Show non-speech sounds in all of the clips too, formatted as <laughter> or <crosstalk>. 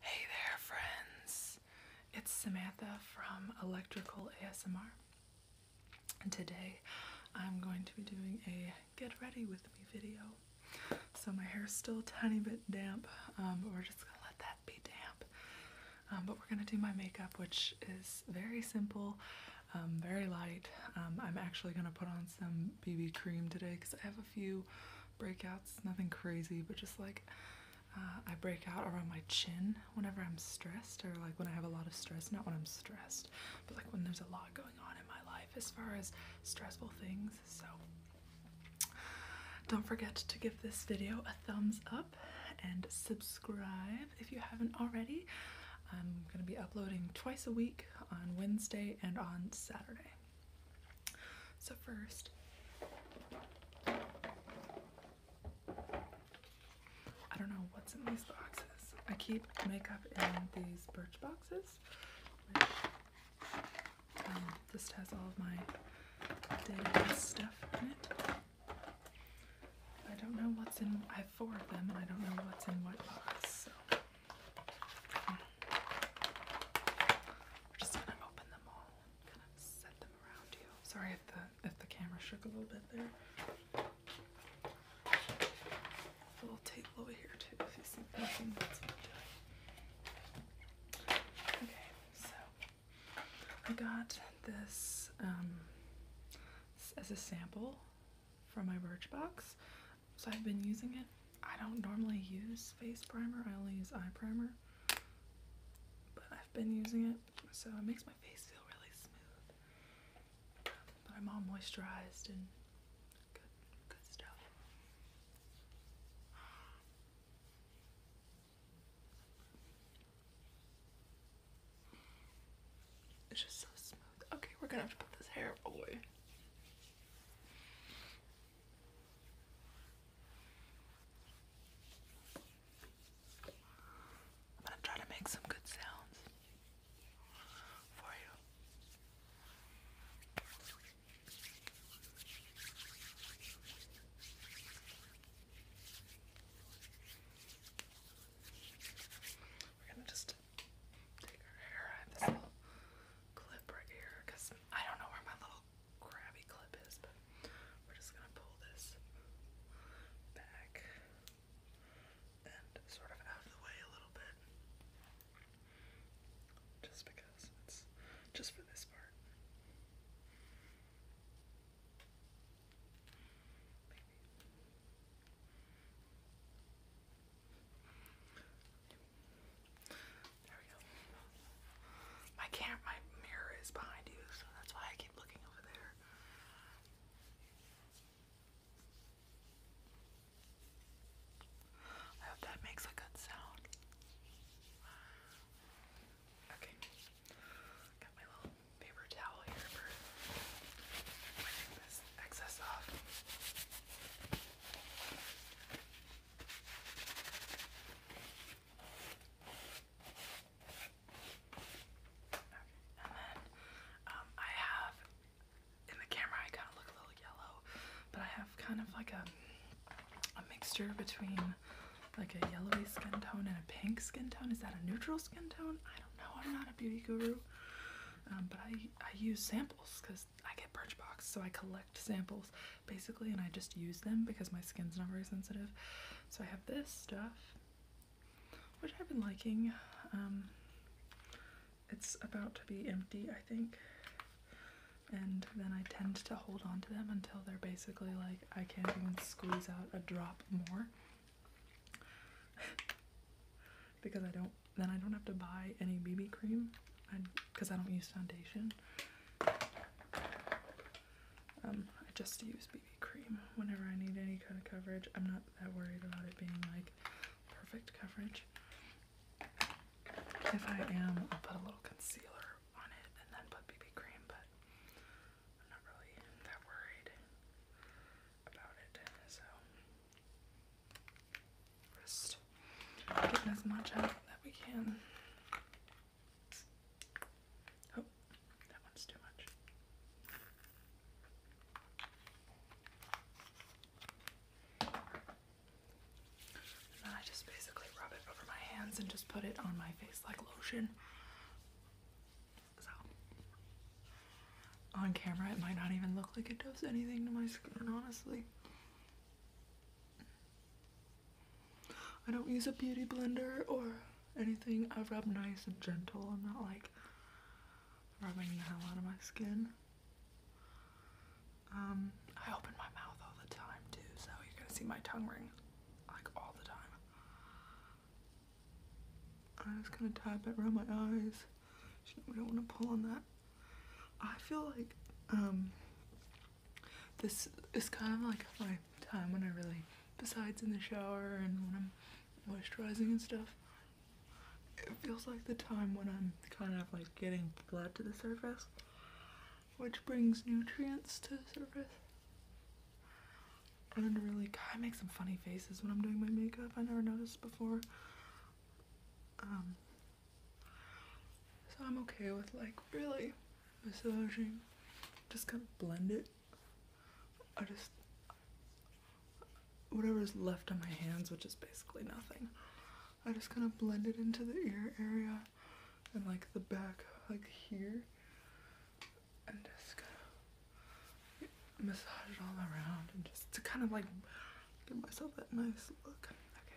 Hey there, friends! It's Samantha from Electrical ASMR, and today I'm going to be doing a get ready with me video. So, my hair's still a tiny bit damp, um, but we're just gonna let that be damp. Um, but we're gonna do my makeup, which is very simple, um, very light. I'm actually gonna put on some BB cream today because I have a few breakouts. Nothing crazy, but just like uh, I break out around my chin whenever I'm stressed or like when I have a lot of stress. Not when I'm stressed, but like when there's a lot going on in my life as far as stressful things. So don't forget to give this video a thumbs up and subscribe if you haven't already. I'm going to be uploading twice a week on Wednesday and on Saturday. So, first, I don't know what's in these boxes. I keep makeup in these birch boxes, This um, has all of my daily stuff in it. I don't know what's in, I have four of them, and I don't know what's in what box, we're just gonna open them all kind of set them around you. Sorry if the if the camera shook a little bit there. A little table over here too, i Okay, so I got this um, as a sample from my Birchbox. So I've been using it I don't normally use face primer, I only use eye primer, but I've been using it, so it makes my face feel really smooth. But I'm all moisturized and good, good stuff. It's just so smooth. Okay, we're gonna have to put this hair away. I'm gonna try to make some good sounds for you. We're gonna just take our hair out this little clip right here because I don't know where my little crabby clip is, we're just gonna pull this back and sort of out of the way a little bit. Just because it's just for this part. My camera, my mirror is behind you, so that's why I keep looking over there. I hope that makes a good sound. Okay. Got my little paper towel here for wiping this excess off. Um, I have in the camera I kind of look a little yellow, but I have kind of like a a mixture between like a yellowy skin tone and a pink skin tone. Is that a neutral skin tone? I don't know. I'm not a beauty guru, um, but I I use samples because I get Birchbox, so I collect samples basically, and I just use them because my skin's not very sensitive. So I have this stuff, which I've been liking. Um, it's about to be empty, I think, and then I tend to hold on to them until they're basically like I can't even squeeze out a drop more <laughs> because I don't. Then I don't have to buy any BB cream because I don't use foundation. Um, I just use BB cream whenever I need any kind of coverage. I'm not that worried about it being like perfect coverage. If I am, I'll put a little concealer on it and then put BB cream, but I'm not really that worried about it. So, just getting as much out that we can. Oh, that one's too much. And then I just basically rub it over my hands and just put it on my face like lotion. So, on camera, it might not even look like it does anything to my skin, honestly. I don't use a beauty blender or anything. I rub nice and gentle. I'm not like rubbing the hell out of my skin. Um, I open my mouth all the time too, so you're gonna see my tongue ring like all the time. I'm just gonna tap it around my eyes. We don't want to pull on that. I feel like um, this is kind of like my time when I really, besides in the shower and when I'm moisturizing and stuff, it feels like the time when I'm kind of like getting blood to the surface, which brings nutrients to the surface. And really, God, I make some funny faces when I'm doing my makeup. I never noticed before. Um, so I'm okay with like really massaging. Just kind of blend it. I just whatever is left on my hands, which is basically nothing. I just kind of blend it into the ear area and like the back, like here, and just kind of massage it all around and just to kind of like give myself that nice look. Okay,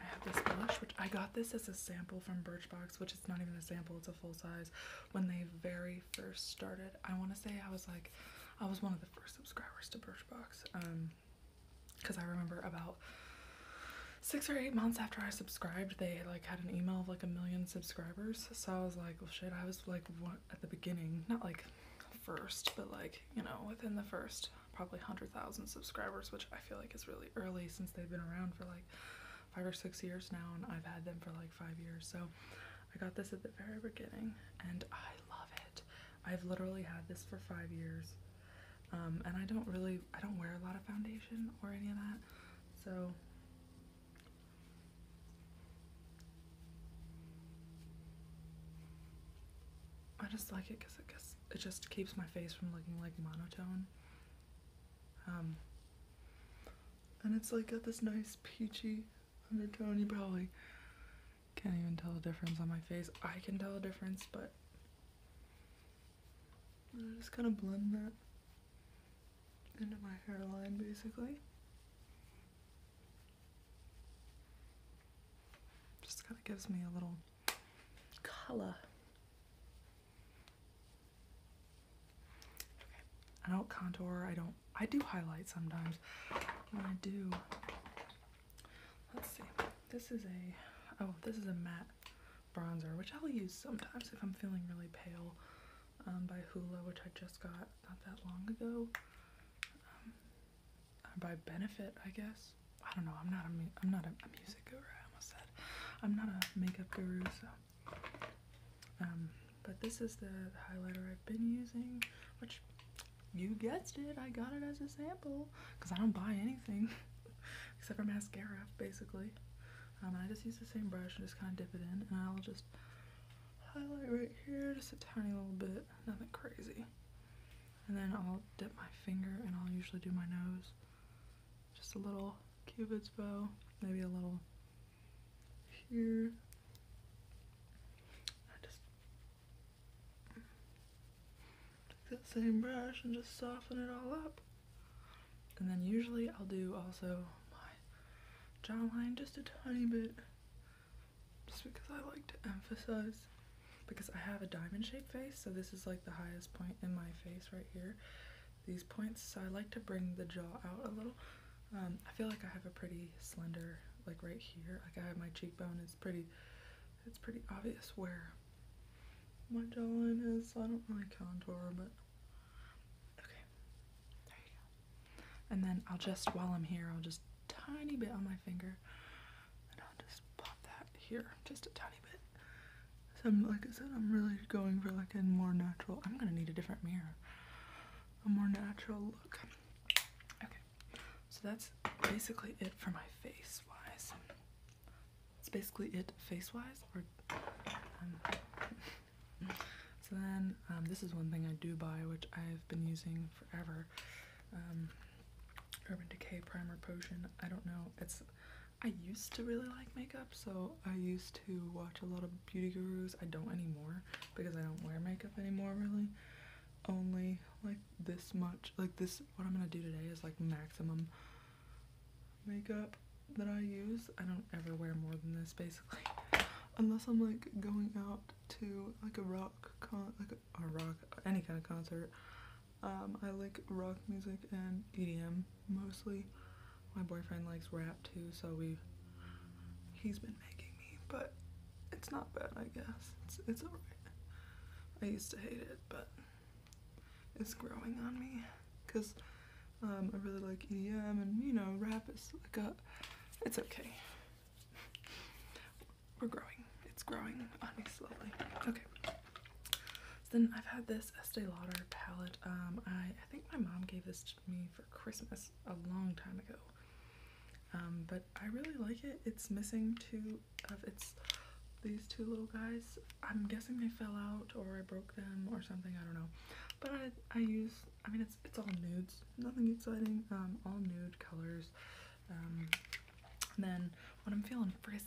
I have this blush, which I got this as a sample from Birchbox, which is not even a sample, it's a full size. When they very first started, I want to say I was like, I was one of the first subscribers to Birchbox. Um, because I remember about six or eight months after I subscribed, they like had an email of like a million subscribers. So I was like, oh shit, I was like what at the beginning, not like first, but like, you know, within the first probably 100,000 subscribers, which I feel like is really early since they've been around for like five or six years now, and I've had them for like five years. So I got this at the very beginning, and I love it. I've literally had this for five years, um, and I don't really, I don't wear a lot of foundation or any of that. So I just like it because it, it just keeps my face from looking like monotone. Um, and it's like got this nice peachy undertone. You probably can't even tell the difference on my face. I can tell the difference, but I just kind of blend that into my hairline basically. Just kind of gives me a little color. I don't contour. I don't. I do highlight sometimes. I do. Let's see. This is a. Oh, this is a matte bronzer, which I'll use sometimes if I'm feeling really pale. Um, by Hula, which I just got not that long ago. Um, by Benefit, I guess. I don't know. I'm not a. I'm not a, a music guru. I almost said I'm not a makeup guru, so. Um, but this is the, highlighter I've been using, which you guessed it, I got it as a sample because I don't buy anything <laughs> except for mascara, basically. Um, I just use the same brush and just kind of dip it in, and I'll just highlight right here, just a tiny little bit, nothing crazy. And then I'll dip my finger and I'll usually do my nose, just a little cupid's bow maybe a little here just take that same brush and just soften it all up and then usually I'll do also my jawline just a tiny bit just because I like to emphasize because I have a diamond shaped face so this is like the highest point in my face right here these points so I like to bring the jaw out a little um, I feel like I have a pretty slender like right here like I have my cheekbone is pretty it's pretty obvious where my jawline is I don't really contour but okay and then I'll just while I'm here I'll just tiny bit on my finger and I'll just pop that here just a tiny bit so like I said, I'm really going for like a more natural, I'm gonna need a different mirror. A more natural look. Okay, so that's basically it for my face wise. That's basically it face wise. Or, um, <laughs> so then um, this is one thing I do buy, which I've been using forever. Um, Urban Decay Primer Potion. I don't know. It's I used to really like makeup, so I used to watch a lot of beauty gurus. I don't anymore because I don't wear makeup anymore, really. Only like this much, like this, what I'm gonna do today is like maximum makeup that I use. I don't ever wear more than this basically, <laughs> unless I'm like going out to like a rock con, like a, a rock, any kind of concert. Um, I like rock music and EDM mostly. My boyfriend likes rap too, so we he's been making me, but it's not bad, I guess. It's it's alright. I used to hate it, but it's growing on me because um, I really like EDM and you know rap is like a it's okay. We're growing. It's growing on me slowly. Okay then I've had this Estee Lauder palette. Um, I, I think my mom gave this to me for Christmas a long time ago. Um, but I really like it. It's missing two of its these two little guys. I'm guessing they fell out or I broke them or something. I don't know. But I, I use, I mean, it's, it's all nudes. Nothing exciting. Um, all nude colors. Um, then when I'm feeling frisky.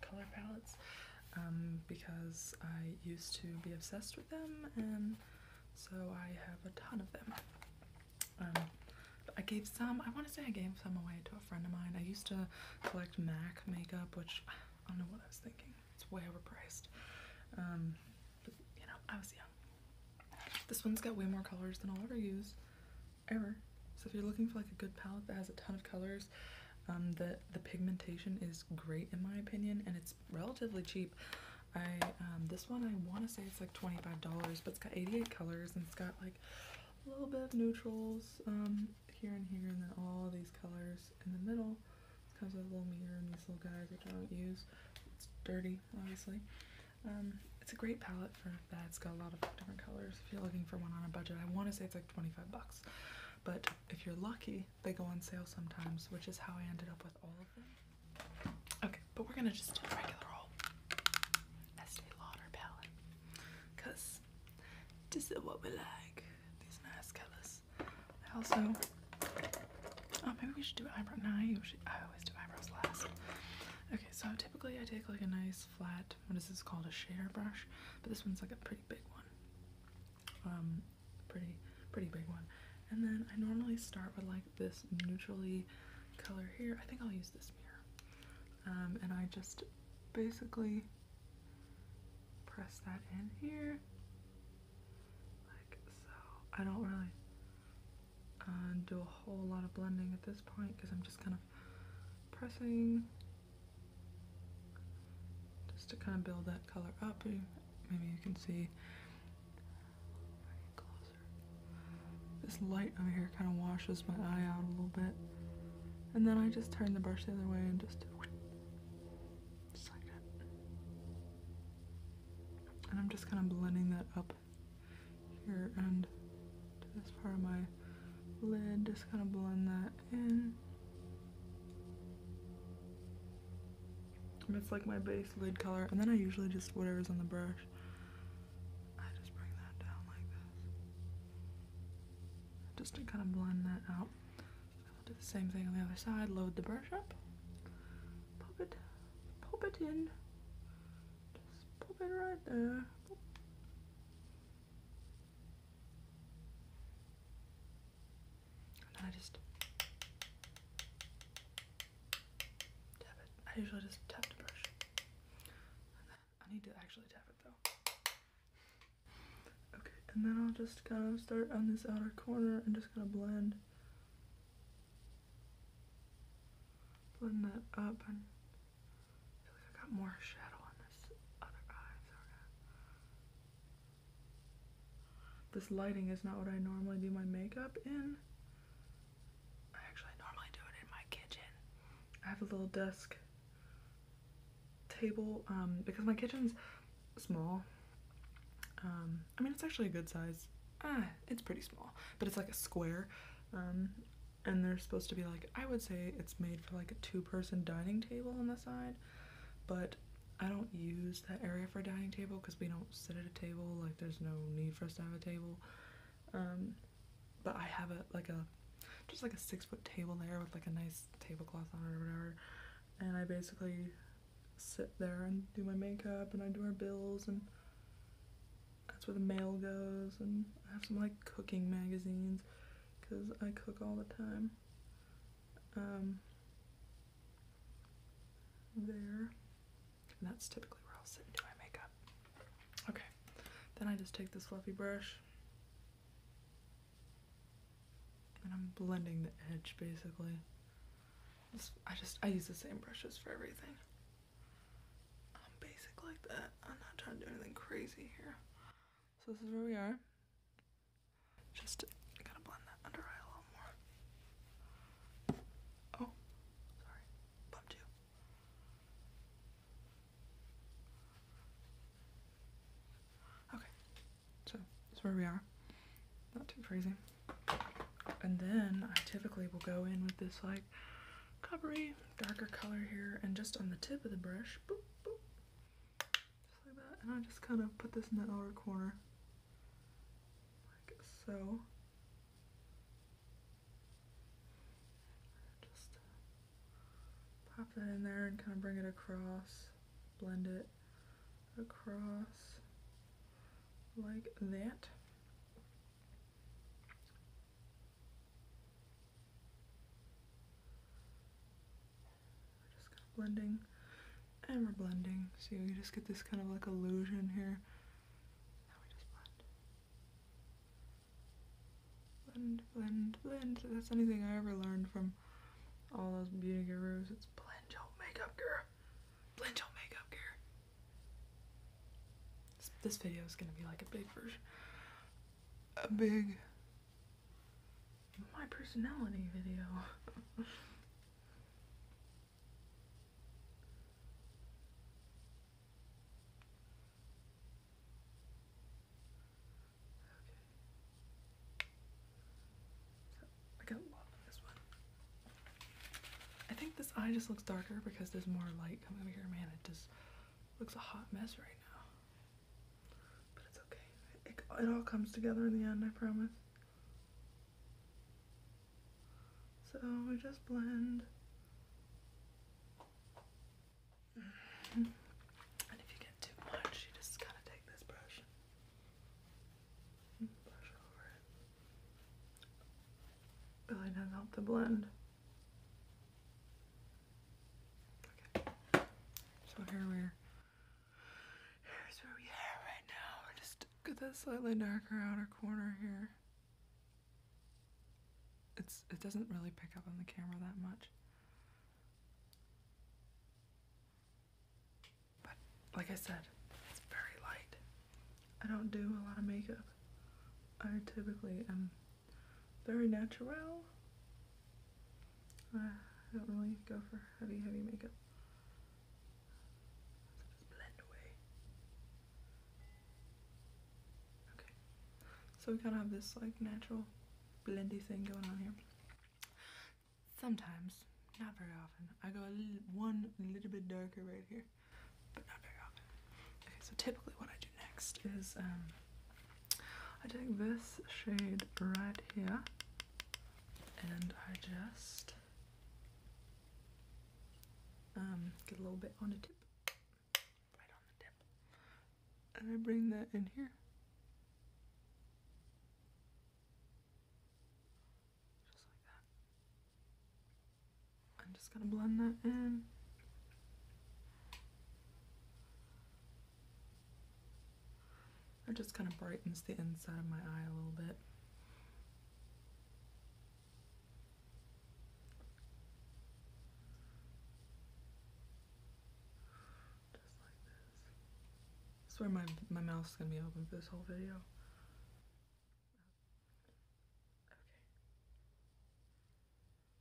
color palettes um, because I used to be obsessed with them, and so I have a ton of them. Um, I gave some, I want to say I gave some away to a friend of mine. I used to collect MAC makeup, which I don't know what I was thinking. It's way overpriced. Um, but, you know, I was young. This one's got way more colors than I'll ever use ever. So if you're looking for like a good palette that has a ton of colors, um, the, the pigmentation is great in my opinion, and it's relatively cheap. I um, This one, I want to say it's like $25, but it's got 88 colors, and it's got like a little bit of neutrals um, here and here, and then all these colors in the middle. comes with a little mirror and these little guys, which I don't use. It's dirty, obviously. Um, it's a great palette that. has got a lot of different colors. If you're looking for one on a budget, I want to say it's like 25 bucks. But if you're lucky, they go on sale sometimes, which is how I ended up with all of them. Okay, but we're gonna just do regular old Estee Lauder palette. Cause this is what we like. These nice colors. I also Oh, maybe we should do eyebrow. No, usually I always do eyebrows last. Okay, so typically I take like a nice flat. What is this called? A share brush, but this one's like a pretty big one. Um, pretty pretty big one. And then I normally start with like this neutrally color here. I think I'll use this mirror. Um, and I just basically press that in here like so. I don't really uh, do a whole lot of blending at this point because I'm just kind of pressing just to kind of build that color up. Maybe you can see This light over here kind of washes my eye out a little bit. And then I just turn the brush the other way and just just like And I'm just kind of blending that up here and to this part of my lid, just kind of blend that in. And it's like my base lid color, and then I usually just whatever's on the brush, I just bring that down like this. Just to kind of blend that out. do the same thing on the other side, load the brush up, pop it, pop it in, just pop it right there. I just tap it. I usually just tap the brush. And then I need to actually tap it though. Okay, and then I'll just kind of start on this outer corner and just kind of blend. Blend that up and I got more shadow on this other eye. Sorry. This lighting is not what I normally do my makeup in. I actually normally do it in my kitchen. I have a little desk table um, because my kitchen's small. Um, I mean, it's actually a good size. Ah, it's pretty small, but it's like a square. Um, and they're supposed to be like I would say it's made for like a two-person dining table on the side but I don't use that area for a dining table because we don't sit at a table like there's no need for us to have a table um, but I have a like a just like a six foot table there with like a nice tablecloth on it or whatever and I basically sit there and do my makeup and I do our bills and that's where the mail goes and I have some like cooking magazines because I cook all the time. Um, there. that's typically where I'll sit and do my makeup. Okay. Then I just take this fluffy brush. And I'm blending the edge, basically. I just, I use the same brushes for everything. I'm basic like that. I'm not trying to do anything crazy here. So this is where we are. Just gotta blend that under eye a little more. Oh, sorry. Bum two. Okay. So this is where we are. Not too crazy. And then I typically will go in with this like coppery, darker color here, and just on the tip of the brush, just like that. And I just kind of put this in the outer corner. Like so. Just pop that in there and kind of bring it across. Blend it across like that just blending and we're blending. See, we just get this kind of like illusion here. blend. Blend, blend, blend. That's anything I ever learned from all those beauty gurus. It's blend your makeup, girl. Blend your makeup, girl. this video is gonna be like a big version a big my personality video. I got a lot this one. I think this eye just looks darker because there's more light coming over here. Man, it just looks a hot mess right now. But it's okay. It, it all comes together in the end, I promise. So we just blend. And if you get too much, you just kind of take this brush brush over it. Really does help the blend. So here we're here's where we are right now. We're just that slightly darker outer corner here. It's it doesn't really pick up on the camera that much. But like I said, it's very light. I don't do a lot of makeup. I typically am very natural. I don't really go for heavy, heavy makeup. Okay, so we kind of have this like natural blendy thing going on here. Sometimes, not very often, I go one little bit darker right here, but not very often. Okay, so typically what I do next is um, I take this shade right here and I just um, get a little bit on the tip, right on the tip, and I bring that in here. Just like that. I'm just gonna blend that in. It just kind of brightens the inside of my eye a little bit. I swear my, my mouth's gonna be open for this whole video. Okay.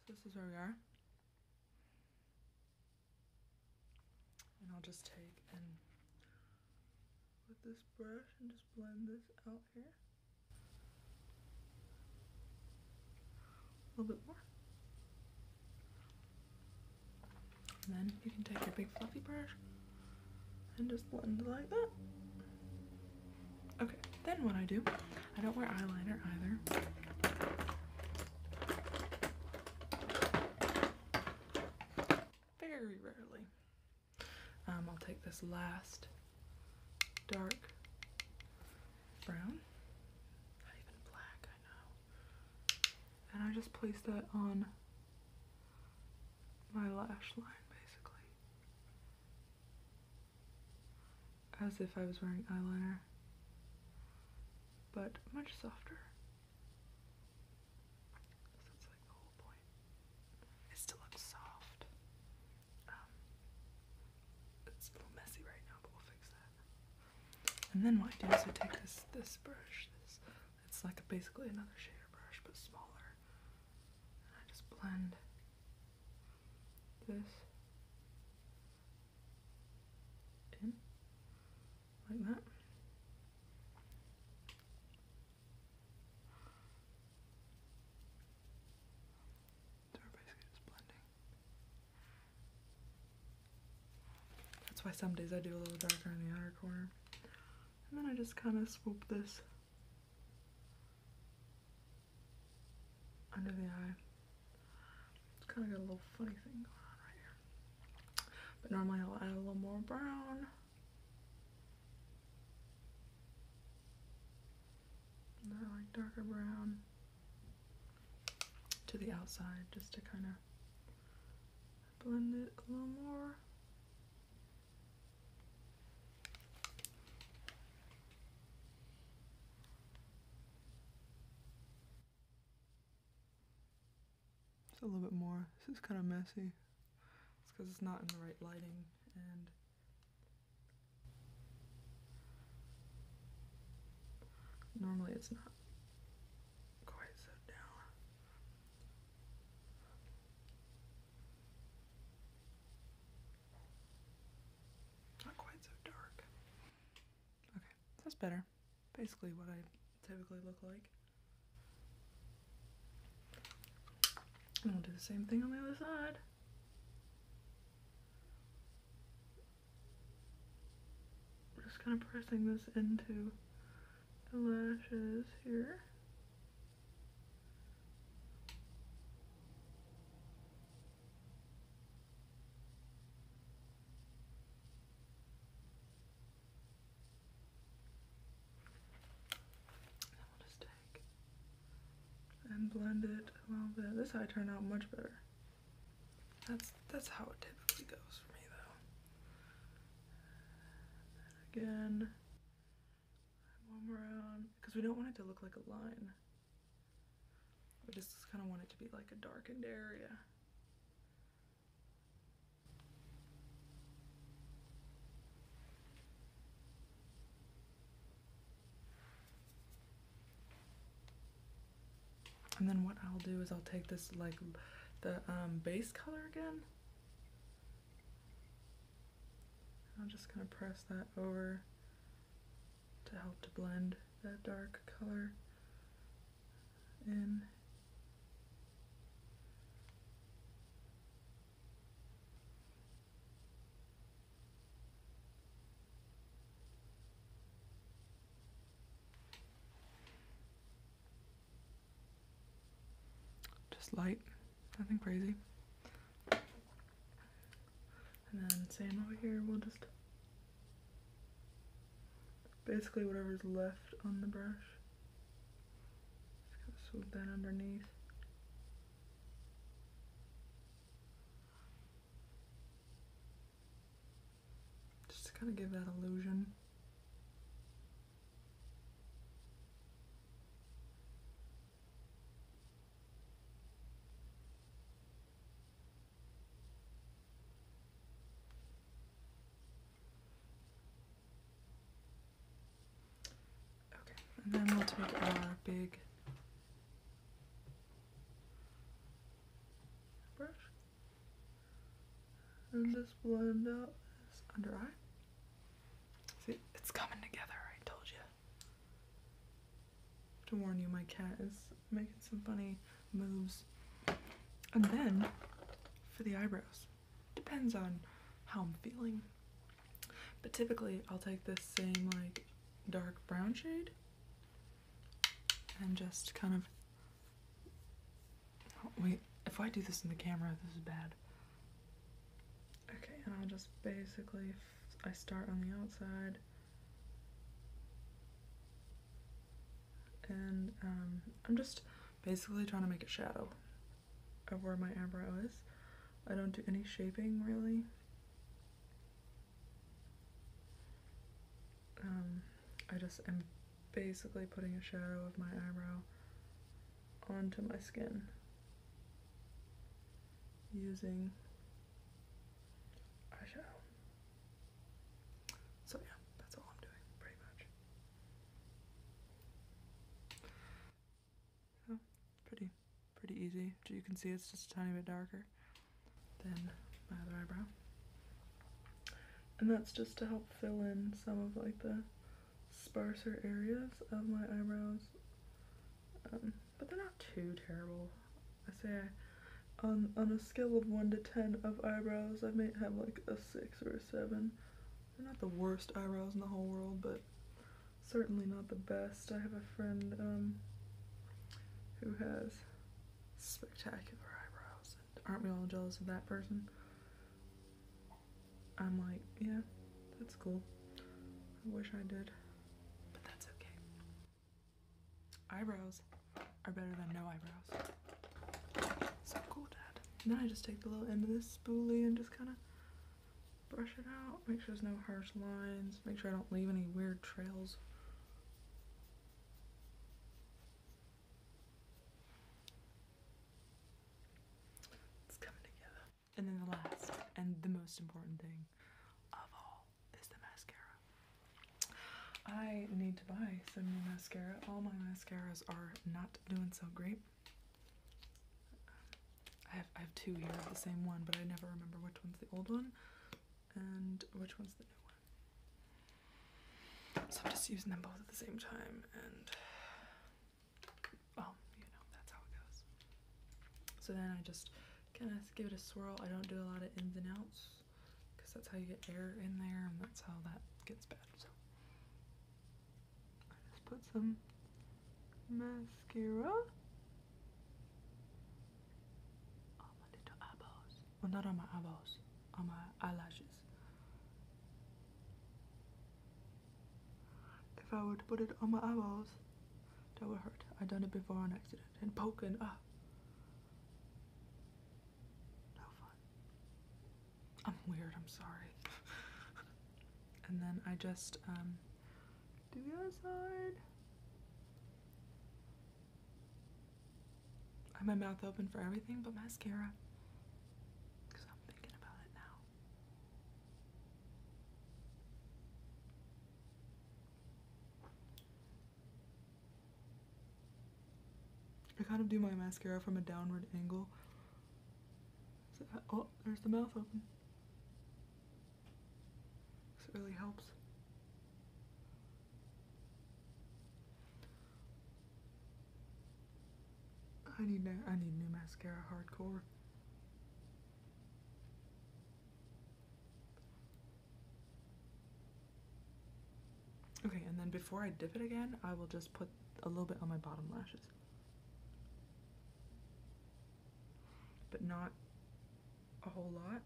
So this is where we are. And I'll just take and with this brush and just blend this out here. A little bit more. And then you can take your big fluffy brush and just blend like that. Okay, then what I do I don't wear eyeliner either. Very rarely. Um, I'll take this last dark brown. Not even black, I know. And I just place that on my lash line, basically as if I was wearing eyeliner, but much softer. So that's like soft. Um, it's a little messy right now, but we'll fix that. And then what I do is I take this this brush. This it's like basically another shader brush, but smaller. And I just blend this like that. That's why some days I do a little darker in the outer corner. And then I just kind of swoop this under the eye. It's kind of got a little funny thing going on right here. But normally I'll add a little more brown. like darker brown to the outside just to kind of blend it a little more. It's a little bit more. This is kind of messy. It's because it's not in the right lighting and normally it's not quite so down. Not quite so dark. Okay. That's better. Basically what I typically look like. And we'll do the same thing on the other side. Just kind of pressing this into the lashes here. And blend it a little bit. This eye turned out much better. That's that's how it typically goes for me though. again, one more because we don't want it to look like a line. I just kind of want it to be like a darkened area. And then what I'll do is I'll take this like the um, base color again. I'm just gonna press that over to help to blend that dark color in. Just light, nothing crazy. And then same over here, we'll just basically whatever's left on the brush. Just swoop that underneath. Just to kind of give that illusion. Okay, and then we'll take our big brush and just blend out this under eye. See, it's coming together, I told you. To warn you, my cat is making some funny moves. And then for the eyebrows, depends on how I'm feeling. But typically I'll take this same like dark brown shade and just kind of, oh, wait, if I do this in the camera, this is bad. Okay, and I'll just basically, I start on the outside and um, I'm just basically trying to make a shadow of where my eyebrow is. I don't do any shaping really. Um, I just am basically putting a shadow of my eyebrow onto my skin using eyeshadow. So yeah, that's all I'm doing, pretty much. pretty, pretty easy. You can see it's just a tiny bit darker than my other eyebrow. And that's just to help fill in some of like the sparser areas of my eyebrows. Um, but they're not too terrible. I say on, on a scale of 1 to 10 of eyebrows, I may have like a 6 or a 7. They're not the worst eyebrows in the whole world, but certainly not the best. I have a friend um, who has spectacular eyebrows. Aren't we all jealous of that person? I'm like, yeah, that's cool. I wish I did, but that's okay eyebrows are better than no eyebrows. So cool, Dad. And then I just take the little end of this spoolie and just kind of brush it out. Make sure there's no harsh lines. Make sure I don't leave any weird trails. It's coming together. And then the last and the most important thing of all is the mascara. I need to buy some new mascara. All my mascaras are not doing so great. I have, I have two here of the same one, but I never remember which one's the old one and which one's the new one. So I'm just using them both at the same time and well, you know, that's how it goes. So then I just kind of give it a swirl. I don't do a lot of ins and outs because that's how you get air in there and that's how that gets bad. So I just put some mascara on my little eyeballs. Well, not on my eyeballs, on my eyelashes. If I were to put it on my eyeballs, that would hurt. I've done it before on accident and poking. Ah no fun. I'm weird, I'm sorry. <laughs> and then I just um, do the other side. I have my mouth open for everything but mascara. Because I'm thinking about it now. I kind of do my mascara from a downward angle. Uh, oh, there's the mouth open. This really helps. I need new, I need new mascara hardcore. Okay, and then before I dip it again, I will just put a little bit on my bottom lashes. But not a whole lot.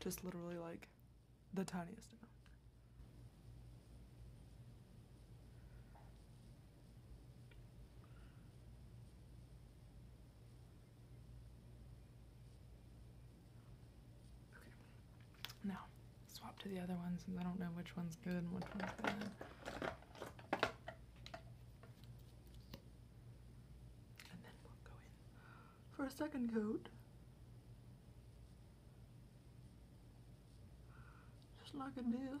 Just literally like the tiniest amount. Okay. Now, swap to the other one since I don't know which one's good and which one's bad. And then we'll go in for a second coat. Just like this.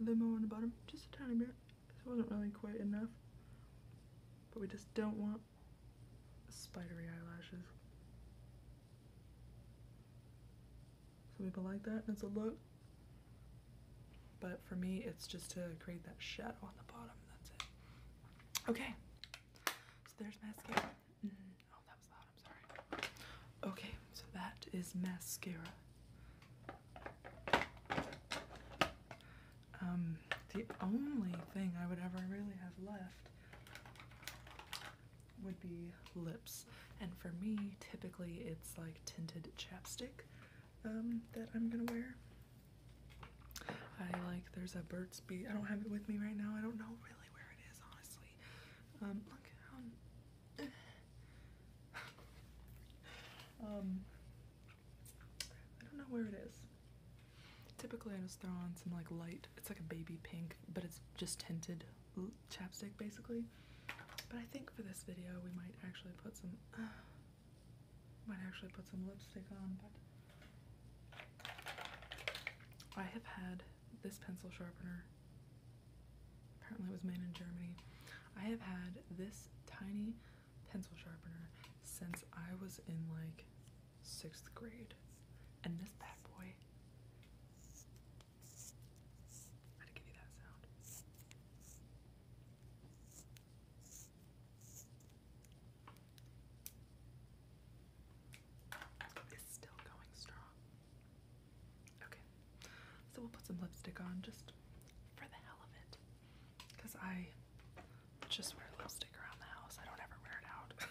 a little more on the bottom, just a tiny bit. This wasn't really quite enough, but we just don't want spidery eyelashes. Some people like that, and it's a look. But for me, it's just to create that shadow on the bottom, that's it. Okay, so there's mascara oh, that was loud. I'm sorry. Okay, so that is mascara. Um, the only thing I would ever really have left would be lips. And for me, typically it's like tinted chapstick um, that I'm gonna wear. I like, there's a Burt's Bees, I don't have it with me right now, I don't know really where it is, honestly. Um, look um, <sighs> um, I don't know where it is. Typically, I just throw on some like light. It's like a baby pink, but it's just tinted chapstick basically. But I think for this video, we might actually put some. <sighs> might actually put some lipstick on, but I have had this pencil sharpener, apparently it was made in Germany. I have had this tiny pencil sharpener since I was in like sixth grade. And this bad boy, I to give you that sound is still going strong. Okay, so we'll put some lipstick on just for the hell of it. Because I just wear lipstick around the house, I don't ever wear it out. <laughs>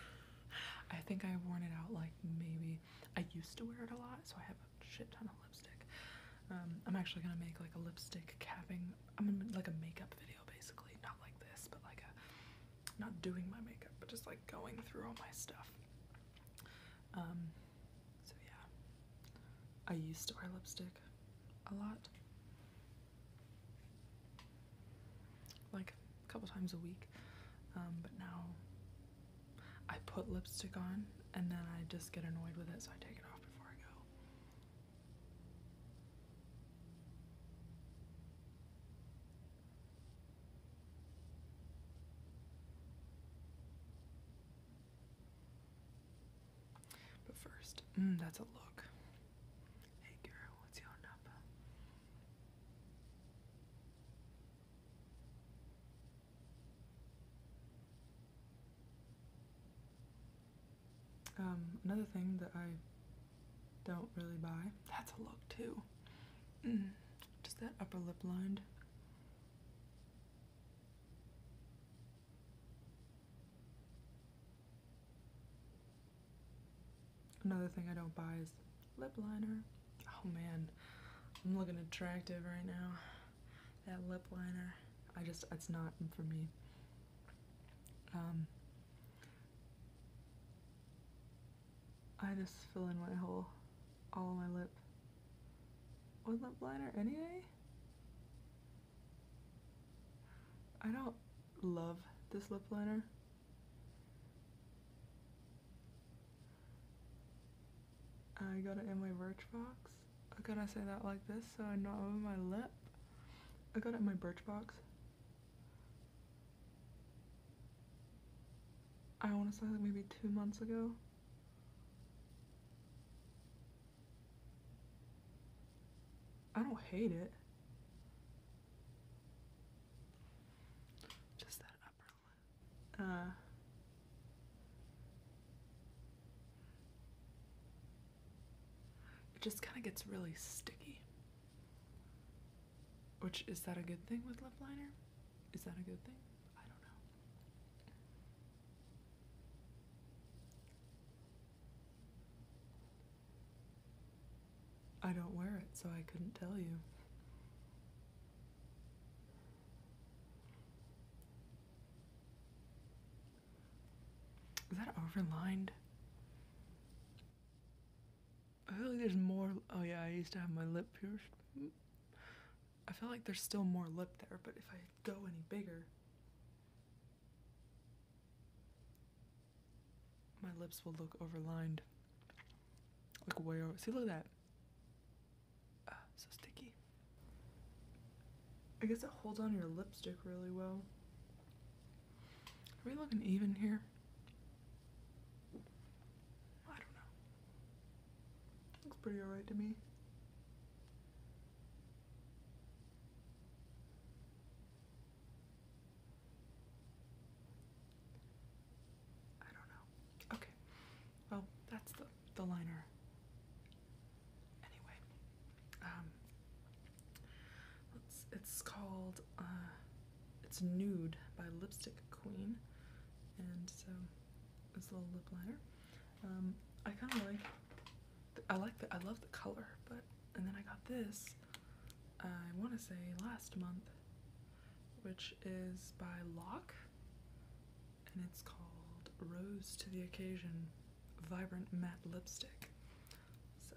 I think I've worn it out like maybe I used to wear it a lot, so I have a shit ton of lipstick. Um, I'm actually gonna make like a lipstick capping. I'm gonna like a makeup video basically, not like this, but like a not doing my makeup, but just like going through all my stuff. Um, so yeah, I used to wear lipstick a lot, like a couple times a week, um, but now I put lipstick on and then I just get annoyed with it, so I take it off before I go. But first, mm, that's a look. Hey girl, what's your number? Um, another thing that I don't really buy. That's a look too. Mm. Just that upper lip lined. Another thing I don't buy is lip liner. Oh man, I'm looking attractive right now. That lip liner, I just, it's not for me. Um, I just fill in my whole, all my lip with lip liner anyway. I don't love this lip liner. I got it in my Birchbox. I gotta say that like this so I'm not on my lip. I got it in my Birchbox. I want to say like maybe two months ago. I don't hate it. Just that upper lip. Uh, it just kind of gets really sticky. Which is that a good thing with lip liner? Is that a good thing? I don't know. I don't wear it, so I couldn't tell you. Is that overlined? I feel like there's more. Oh, yeah, I used to have my lip pierced. I feel like there's still more lip there, but if I go any bigger, my lips will look overlined. Like way over. See, look at that. Ah, so sticky. I guess it holds on your lipstick really well. Are we looking even here? I don't know. Looks pretty alright to me. I don't know. Okay. Well, that's the the liner. Anyway, um, it's it's called uh, it's Nude by Lipstick Queen. And so this little lip liner. Um, I kind of like, I like the, I love the color, but, and then I got this, I want to say last month, which is by Lock. and it's called Rose to the Occasion Vibrant Matte Lipstick. So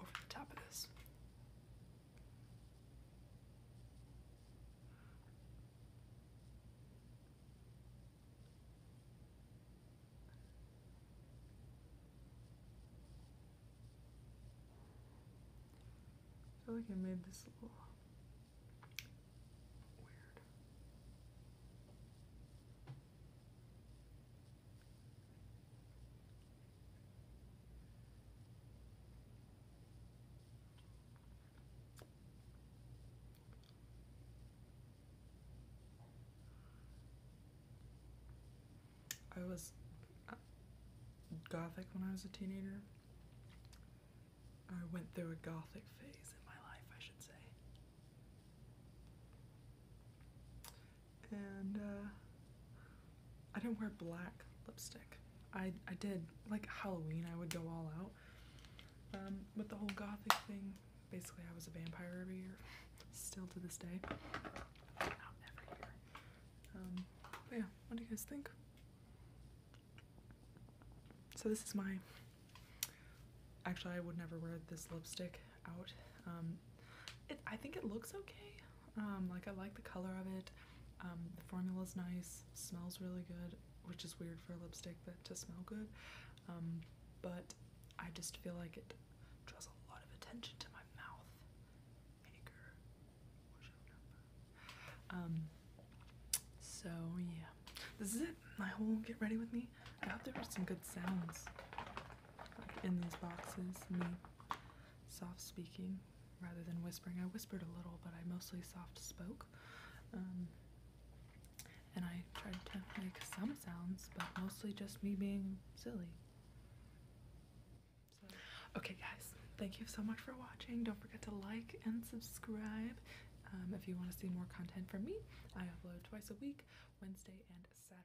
over the top of this. I feel like I made this a little weird. I was uh, gothic when I was a teenager. I went through a gothic phase in my life, I should say and uh, I didn't wear black lipstick. I, I did, like Halloween, I would go all out. Um, with the whole gothic thing, basically I was a vampire every year, still to this day. Um, but yeah, what do you guys think? So this is my, actually I would never wear this lipstick out. Um, it, I think it looks okay. Um, like I like the color of it. Um, the formula is nice, smells really good, which is weird for a lipstick that to smell good. but I just feel like it draws a lot of attention to my mouth. so yeah, this is it. My whole get ready with me. I hope there were some good sounds in these boxes. Me soft speaking rather than whispering. I whispered a little, but I mostly soft spoke. Um, and I tried to make some sounds, but mostly just me being silly. So. Okay, guys, thank you so much for watching. Don't forget to like and subscribe. Um, if you want to see more content from me, I upload twice a week, Wednesday and Saturday.